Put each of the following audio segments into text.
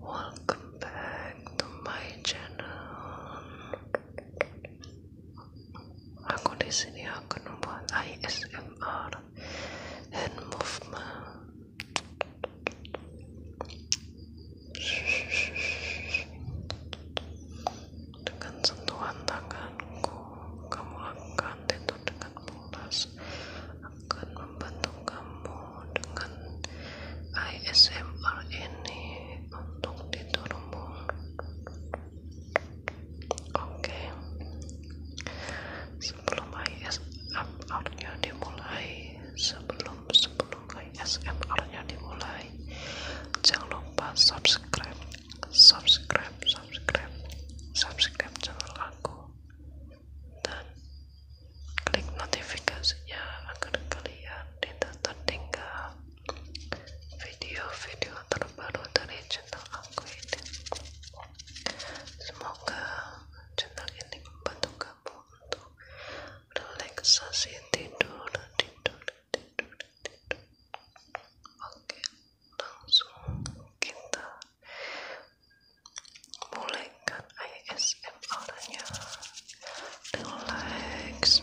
welcome back to my channel. Aku di sini akan membuat ASMR dan movement. Dengan sentuhan tanganku, kamu akan tidur dengan pulas, akan membantu kamu dengan ASMR ini untuk diturbo oke sebelum ASMR nya dimulai sebelum sebelum ASMR nya dimulai jangan lupa subscribe subscribe subscribe subscribe channel aku dan klik notifikasinya agar kalian tidak tertinggal video-video terbaru dari channel aku ini semoga channel ini membantu kamu untuk relaksasi tidur tidur tidur tidur oke langsung kita mulai like an ASMR on you. Relax,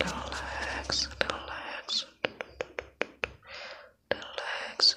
relax. Relax. Relax.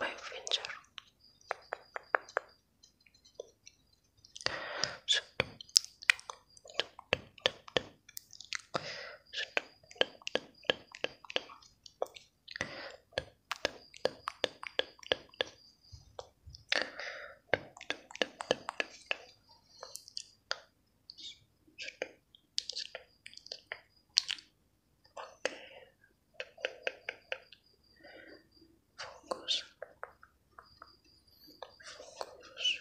my finger. Focus. Focus.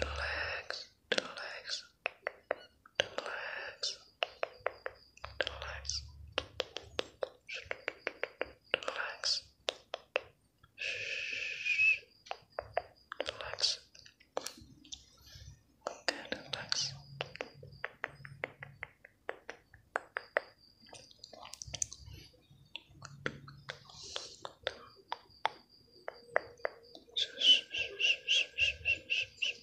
Relax, relax, Relax. Relax. Relax. Shh. Relax. Okay, relax. Shh, shh, shh, shh, shh, shh, shh, shh,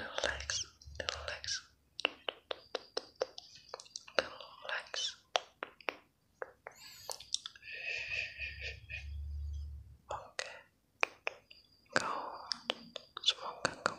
Relax, relax, relax. Okay, go. Smoke, come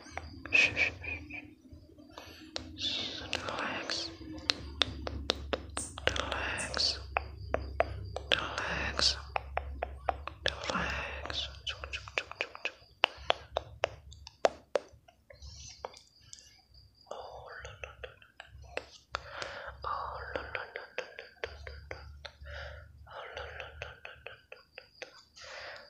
Shh, shh, shh. Shh, relax. Relax. Relax. Relax. Chuk, chuk, chuk, chuk, chuk. Oh, la, la, la, la. Oh, la, la, la, la, la, la, la. Oh, la, la, la, la, la, la, la.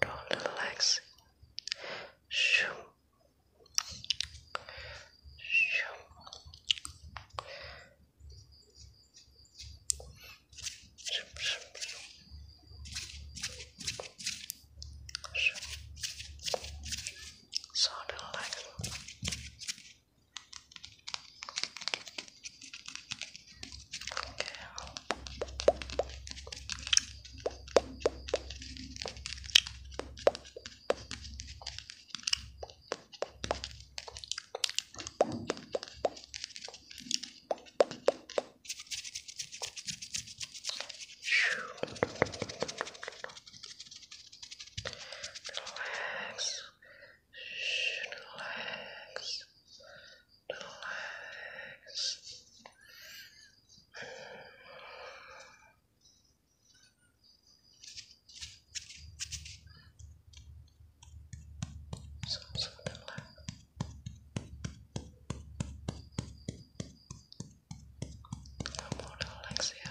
Don't relax. Shoo. Shoo. Shoo, shoo, shoo sort of like okay Okay. Relax. Relax. Relax. Something like Amor, Alexia.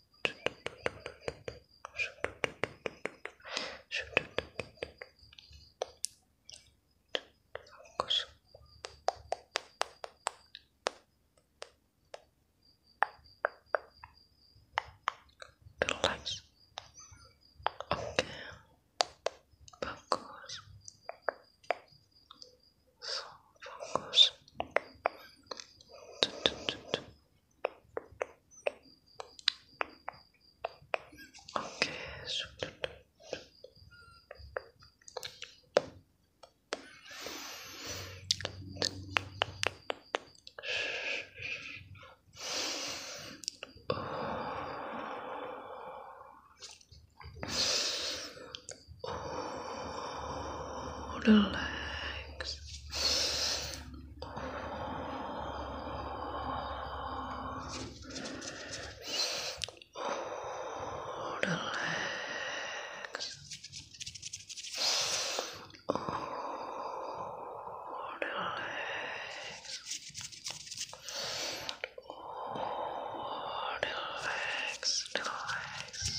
Focus. Relax. Okay. Focus. So focus. Okay, so relax. Oh, relax. Oh, relax. Oh, relax, relax.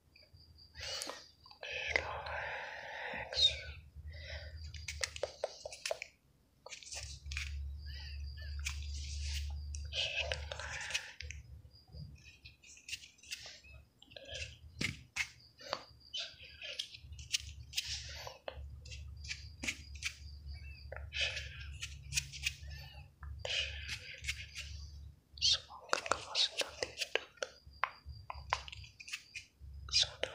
Relax. Smoke comes to the so relax.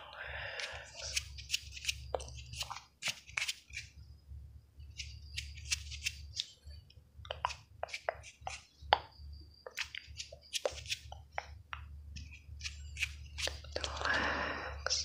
Relax.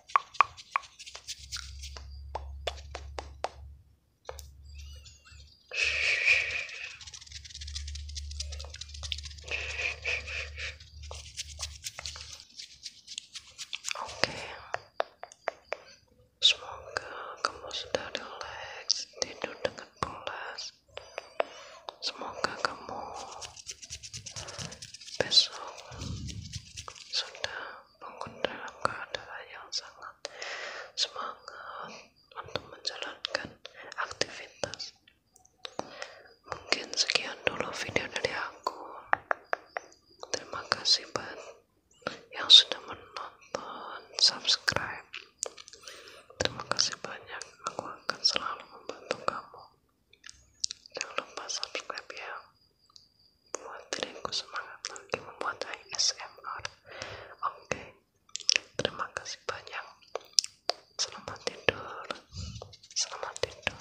Oke, semoga kamu sudah relax tidur dengan pulas. Semoga kamu besok sudah bangun dalam keadaan yang sangat semangat untuk menjalankan aktivitas mungkin sekian dulu video dari aku terima kasih banyak yang sudah menonton subscribe terima kasih banyak aku akan selalu membantu kamu Jangan lupa subscribe ya Buat diriku semangat lagi membuat ASMR Oke Terima kasih banyak Selamat tidur Selamat tidur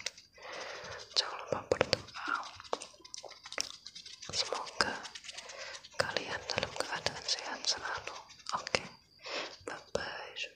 Jangan lupa berdoa Semoga Kalian dalam keadaan sehat selalu Oke Bye bye